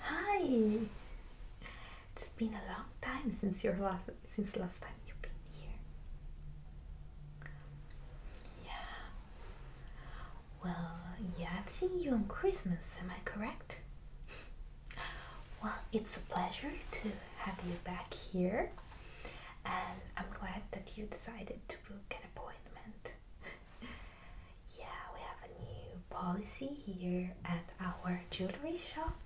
Hi! It's been a long time since your last since last time you've been here. Yeah. Well, yeah, I've seen you on Christmas, am I correct? Well, it's a pleasure to have you back here, and I'm glad that you decided to book an appointment. yeah, we have a new policy here at our jewelry shop.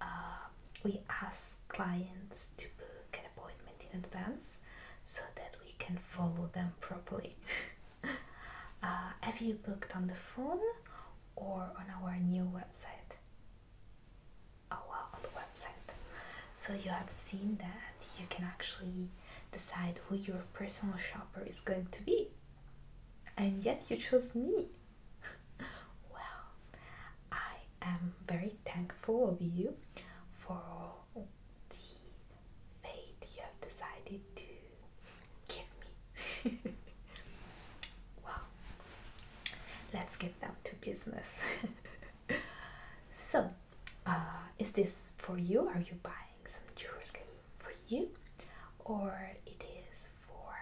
Uh, we ask clients to book an appointment in advance so that we can follow them properly. Uh, have you booked on the phone or on our new website? on the website. So you have seen that you can actually decide who your personal shopper is going to be. And yet you chose me. well, I am very thankful of you for the faith you have decided to give me. well, let's get down to business. so, uh, is this for you? Are you buying some jewelry for you, or it is for?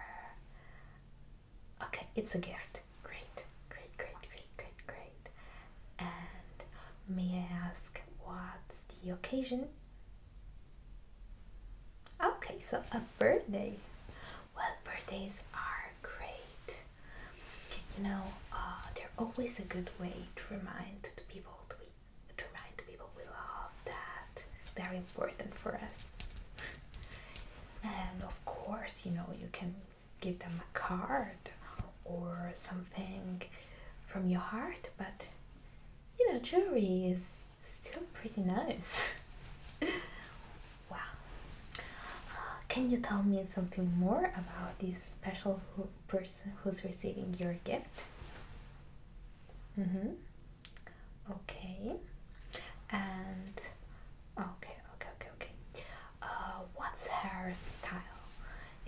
Okay, it's a gift. Great, great, great, great, great, great. And may I ask what's the occasion? Okay, so a birthday. Well, birthdays are great. You know, uh, they're always a good way to remind the people to, to remind the people we love that they're important for us. and of course, you know, you can give them a card or something from your heart, but you know, jewelry is still pretty nice. wow. can you tell me something more about this special person who's receiving your gift? Mm hmm. Okay. And okay, okay, okay, okay. Uh, what's her style?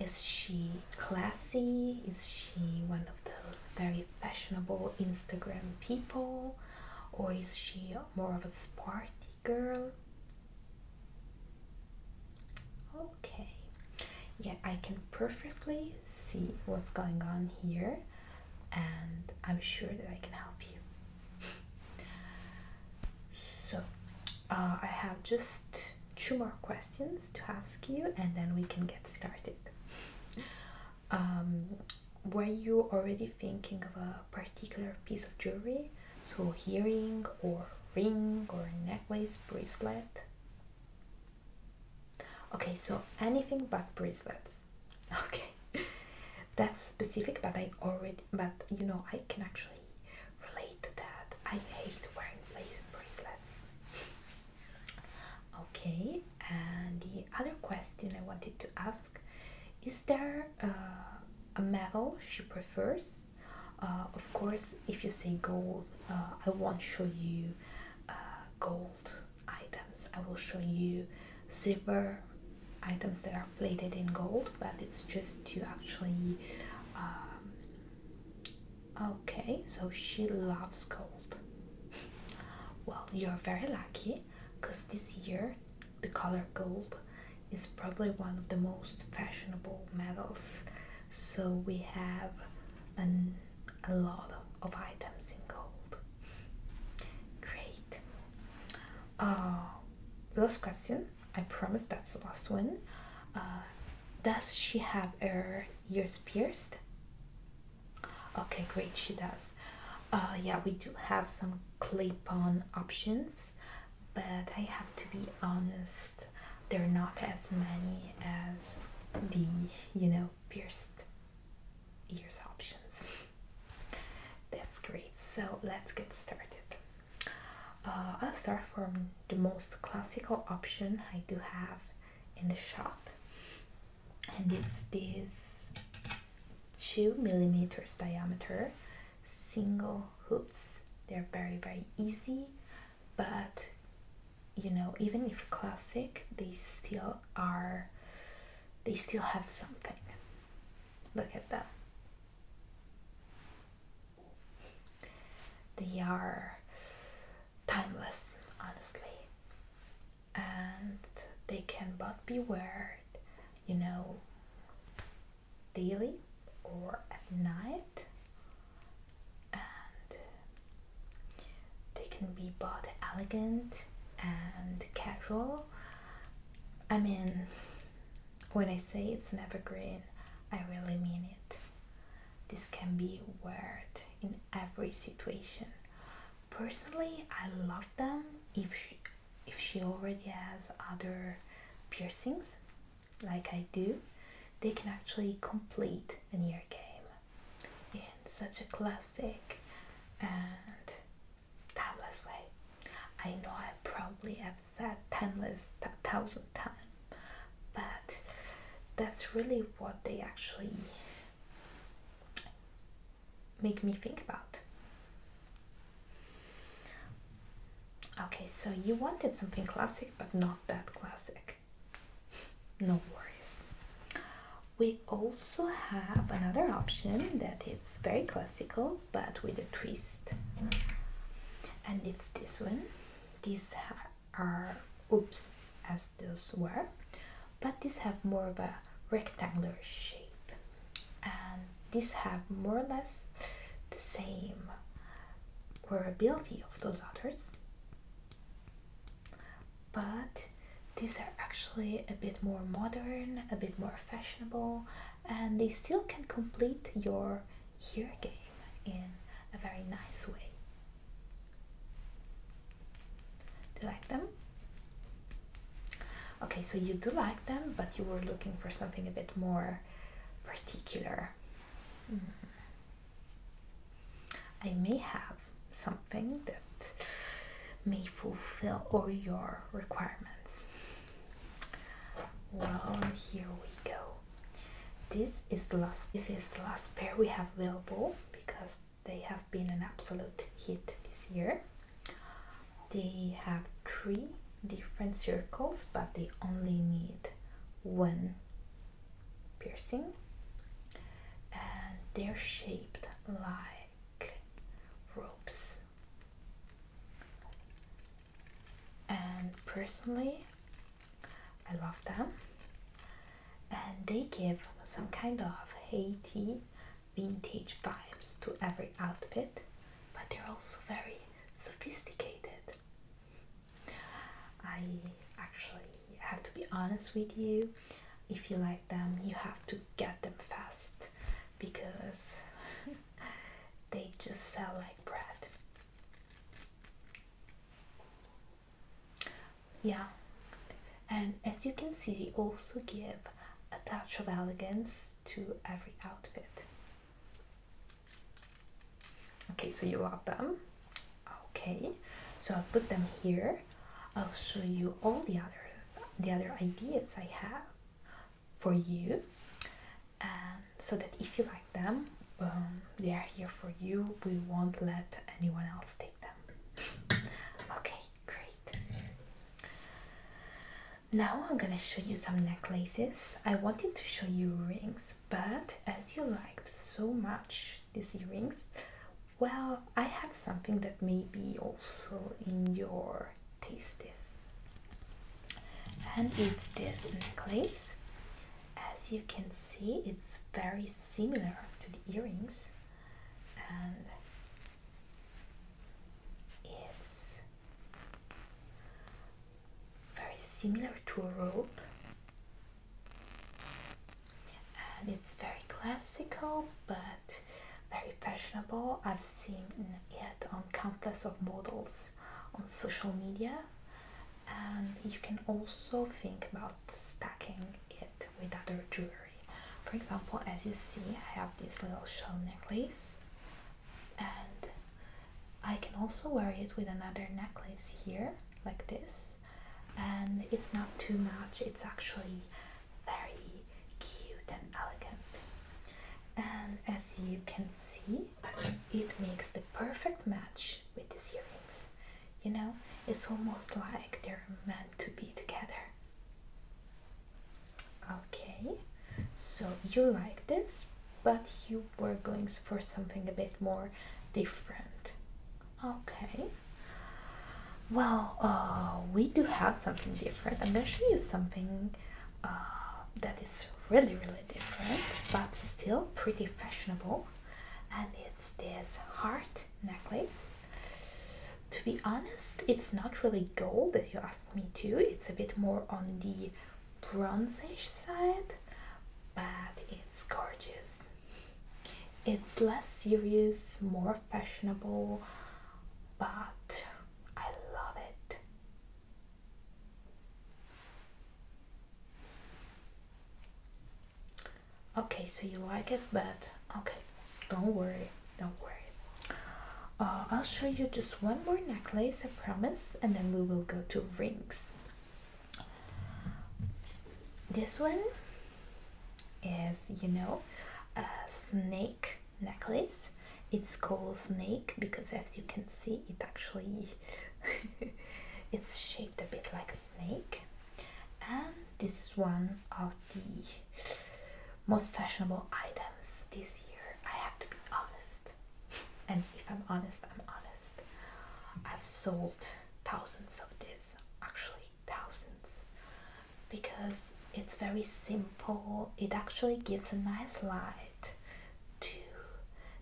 Is she classy? Is she one of those very fashionable Instagram people, or is she more of a sporty girl? Okay, yeah, I can perfectly see what's going on here, and I'm sure that I can help you. so, uh, I have just two more questions to ask you, and then we can get started. Um, were you already thinking of a particular piece of jewelry? So, hearing or ring or necklace, bracelet? Okay, so anything but bracelets. Okay, that's specific, but I already, but you know, I can actually relate to that. I hate wearing bracelets. Okay, and the other question i wanted to ask is there uh, a metal she prefers uh, of course if you say gold uh, i won't show you gold items i will show you silver items that are plated in gold but it's just to actually um, okay so she loves gold well you're very lucky because this year the color gold is probably one of the most fashionable metals so we have an, a lot of items in gold great uh, last question i promise that's the last one uh, does she have her ears pierced okay great she does uh, yeah we do have some clip-on options but i have to be honest they're not as many as the you know pierced ears options that's great so let's get started uh, i'll start from the most classical option i do have in the shop and it's this two millimeters diameter single hoops they're very very easy but you know even if classic they still are they still have something look at that. they are timeless honestly and they can both be wear you know, daily or at night, and they can be both elegant and casual. I mean, when I say it's an evergreen, I really mean it. This can be wear in every situation personally i love them if she if she already has other piercings like i do they can actually complete an ear game in such a classic and timeless way i know i probably have said timeless a thousand times but that's really what they actually make me think about. Okay, so you wanted something classic, but not that classic. No worries. We also have another option that it's very classical, but with a twist. And it's this one. These are oops as those were but these have more of a rectangular shape and these have more or less the same wearability of those others but these are actually a bit more modern a bit more fashionable and they still can complete your ear game in a very nice way do you like them? Okay, so you do like them, but you were looking for something a bit more particular. Hmm. I may have something that may fulfill all your requirements. Well, here we go. This is the last. This is the last pair we have available because they have been an absolute hit this year. They have three different circles, but they only need one piercing, and they're shaped like ropes. And personally, I love them, and they give some kind of Haiti vintage vibes to every outfit, but they're also very sophisticated. I actually have to be honest with you, if you like them, you have to get them fast because they just sell like bread. Yeah, and as you can see, they also give a touch of elegance to every outfit. Okay, so you love them. Okay, so I'll put them here. I'll show you all the others, the other ideas I have for you, and so that if you like them, um, they are here for you. We won't let anyone else take them. okay great. Now I'm gonna show you some necklaces. I wanted to show you rings, but as you liked so much these earrings, well, I have something that may be also in your taste and it's this necklace. As you can see, it's very similar to the earrings and it's very similar to a rope and it's very classical but very fashionable. I've seen it on countless of models on social media and you can also think about stacking it with other jewelry. For example, as you see, I have this little shell necklace, and I can also wear it with another necklace here, like this. And it's not too much, it's actually very cute and elegant. And as you can see, it makes the perfect match with these earrings. You know, it's almost like they're meant to be together. Okay, so you like this, but you were going for something a bit more different. Okay, well, uh, we do have something different. I'm gonna show you something uh, that is really, really different, but still pretty fashionable. And it's this heart necklace to be honest, it's not really gold as you asked me to, it's a bit more on the bronzish side, but it's gorgeous. It's less serious, more fashionable, but I love it. Okay, so you like it, but okay, don't worry don't worry uh, I'll show you just one more necklace I promise and then we will go to rings this one is you know a snake necklace it's called snake because as you can see it actually it's shaped a bit like a snake and this is one of the most fashionable items this year. I have to be honest, and if I'm honest, I'm honest. I've sold thousands of this, actually, thousands, because it's very simple. It actually gives a nice light to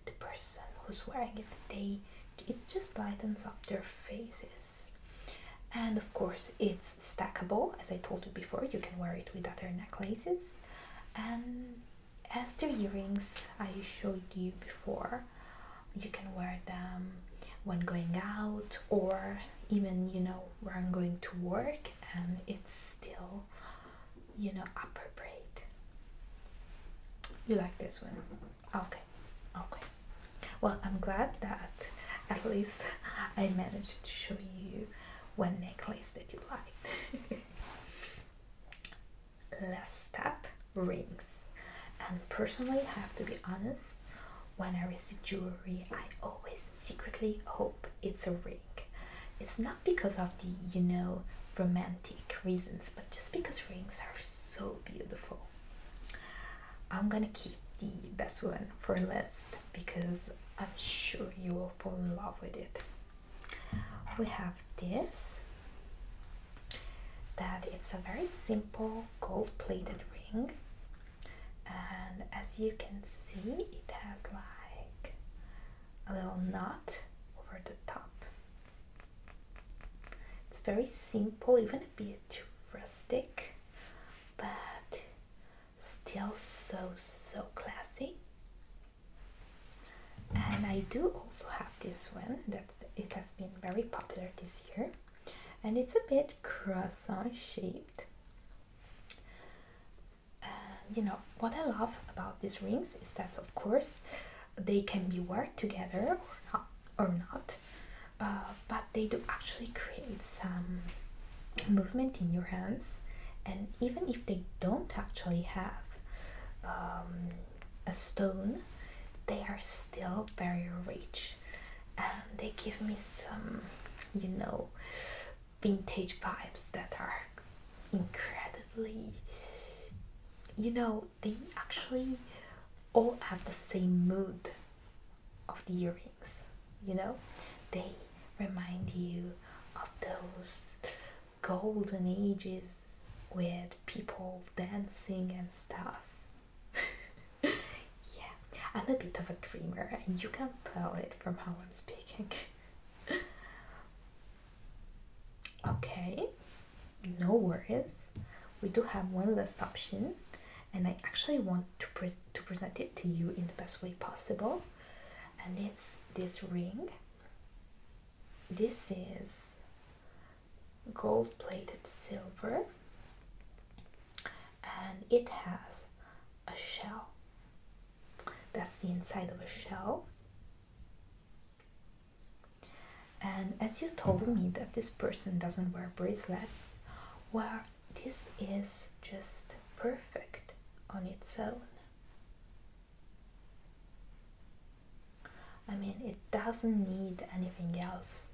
the person who's wearing it. They it just lightens up their faces and of course it's stackable as I told you before you can wear it with other necklaces and as the earrings I showed you before you can wear them when going out or even you know where I'm going to work and it's still you know appropriate. you like this one okay okay well I'm glad that at least I managed to show you one necklace that you like. Last step rings. And personally, I have to be honest, when I receive jewelry, I always secretly hope it's a ring. It's not because of the, you know, romantic reasons, but just because rings are so beautiful. I'm gonna keep the best one for last because I'm sure you will fall in love with it. We have this that it's a very simple gold-plated ring and as you can see it has like a little knot over the top. It's very simple, even a bit rustic, but still so so classy and I do also have this one that's it has been very popular this year and it's a bit croissant shaped you know what I love about these rings is that of course they can be worn together or not uh, but they do actually create some movement in your hands and even if they don't actually have um, a stone they are still very rich and they give me some you know vintage vibes that are incredibly you know they actually all have the same mood of the earrings you know they remind you of those golden ages with people dancing and stuff yeah i'm a bit of a dreamer and you can tell it from how i'm speaking okay no worries we do have one last option and i actually want to, pre to present it to you in the best way possible and it's this ring this is gold plated silver and it has a shell that's the inside of a shell and as you told me that this person doesn't wear bracelets where? this is just perfect on its own. I mean, it doesn't need anything else,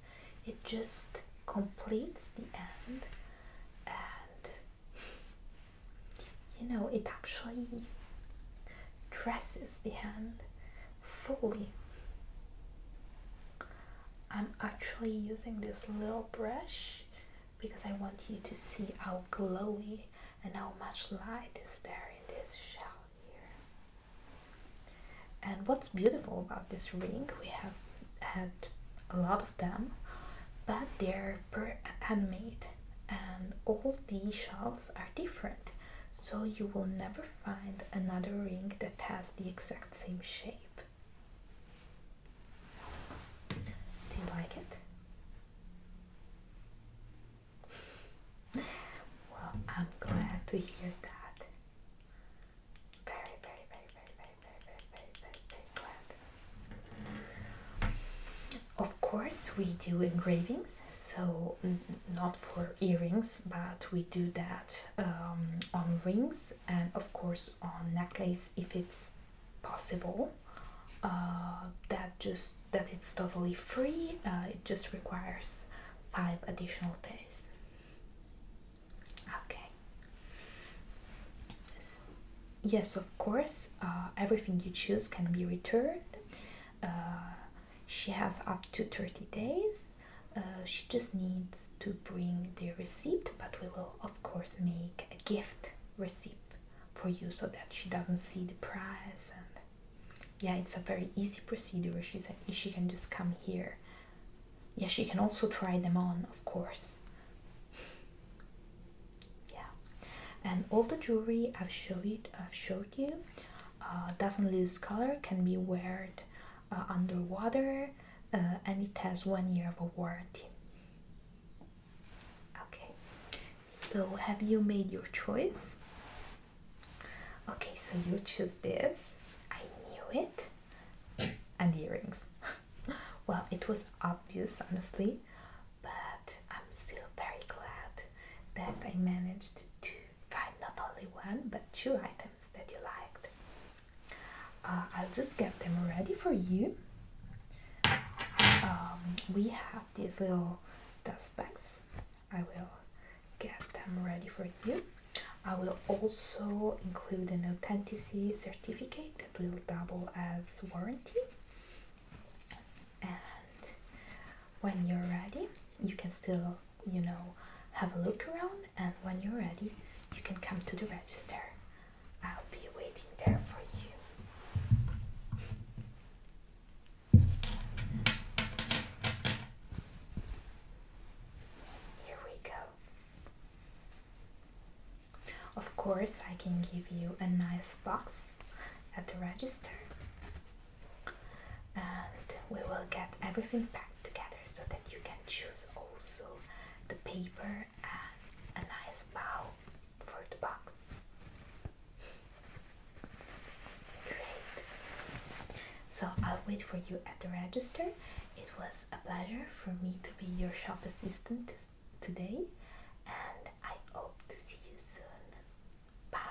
it just completes the end, and you know, it actually dresses the hand fully. I'm actually using this little brush because I want you to see how glowy and how much light is there in this shell here. And what's beautiful about this ring, we have had a lot of them, but they're handmade and all these shells are different. So you will never find another ring that has the exact same shape. Do you like it? well, I'm glad to hear that. Very, very, very, very, very, very, very, very, very, glad. Of course, we do engravings, so not for earrings, but we do that um, on rings and of course on necklace if it's possible uh, that just that it's totally free uh, it just requires five additional days okay so, yes of course uh, everything you choose can be returned she has up to 30 days she just needs to bring the receipt but we will of course make a gift receipt for you so that she doesn't see the price and yeah it's a very easy procedure she's a, she can just come here yeah she can also try them on of course yeah and all the jewelry i've showed i've showed you uh, doesn't lose color can be worn uh, underwater uh, and it has one year of a warranty Okay, so have you made your choice? Okay, so you choose this. I knew it. and earrings. well, it was obvious, honestly, but I'm still very glad that I managed to find not only one but two items that you liked. Uh, I'll just get them ready for you. Um, we have these little dust bags. I will get them ready for you. I will also include an authenticity certificate that will double as warranty. And when you're ready, you can still, you know, have a look around. And when you're ready, you can come to the register. I'll be waiting there for you. Here we go. Of course, I can give you a nice box at the register and we will get everything packed together so that you can choose also the paper and a nice bow for the box. Great. So I'll wait for you at the register. It was a pleasure for me to be your shop assistant today, and I hope to see you soon. Bye.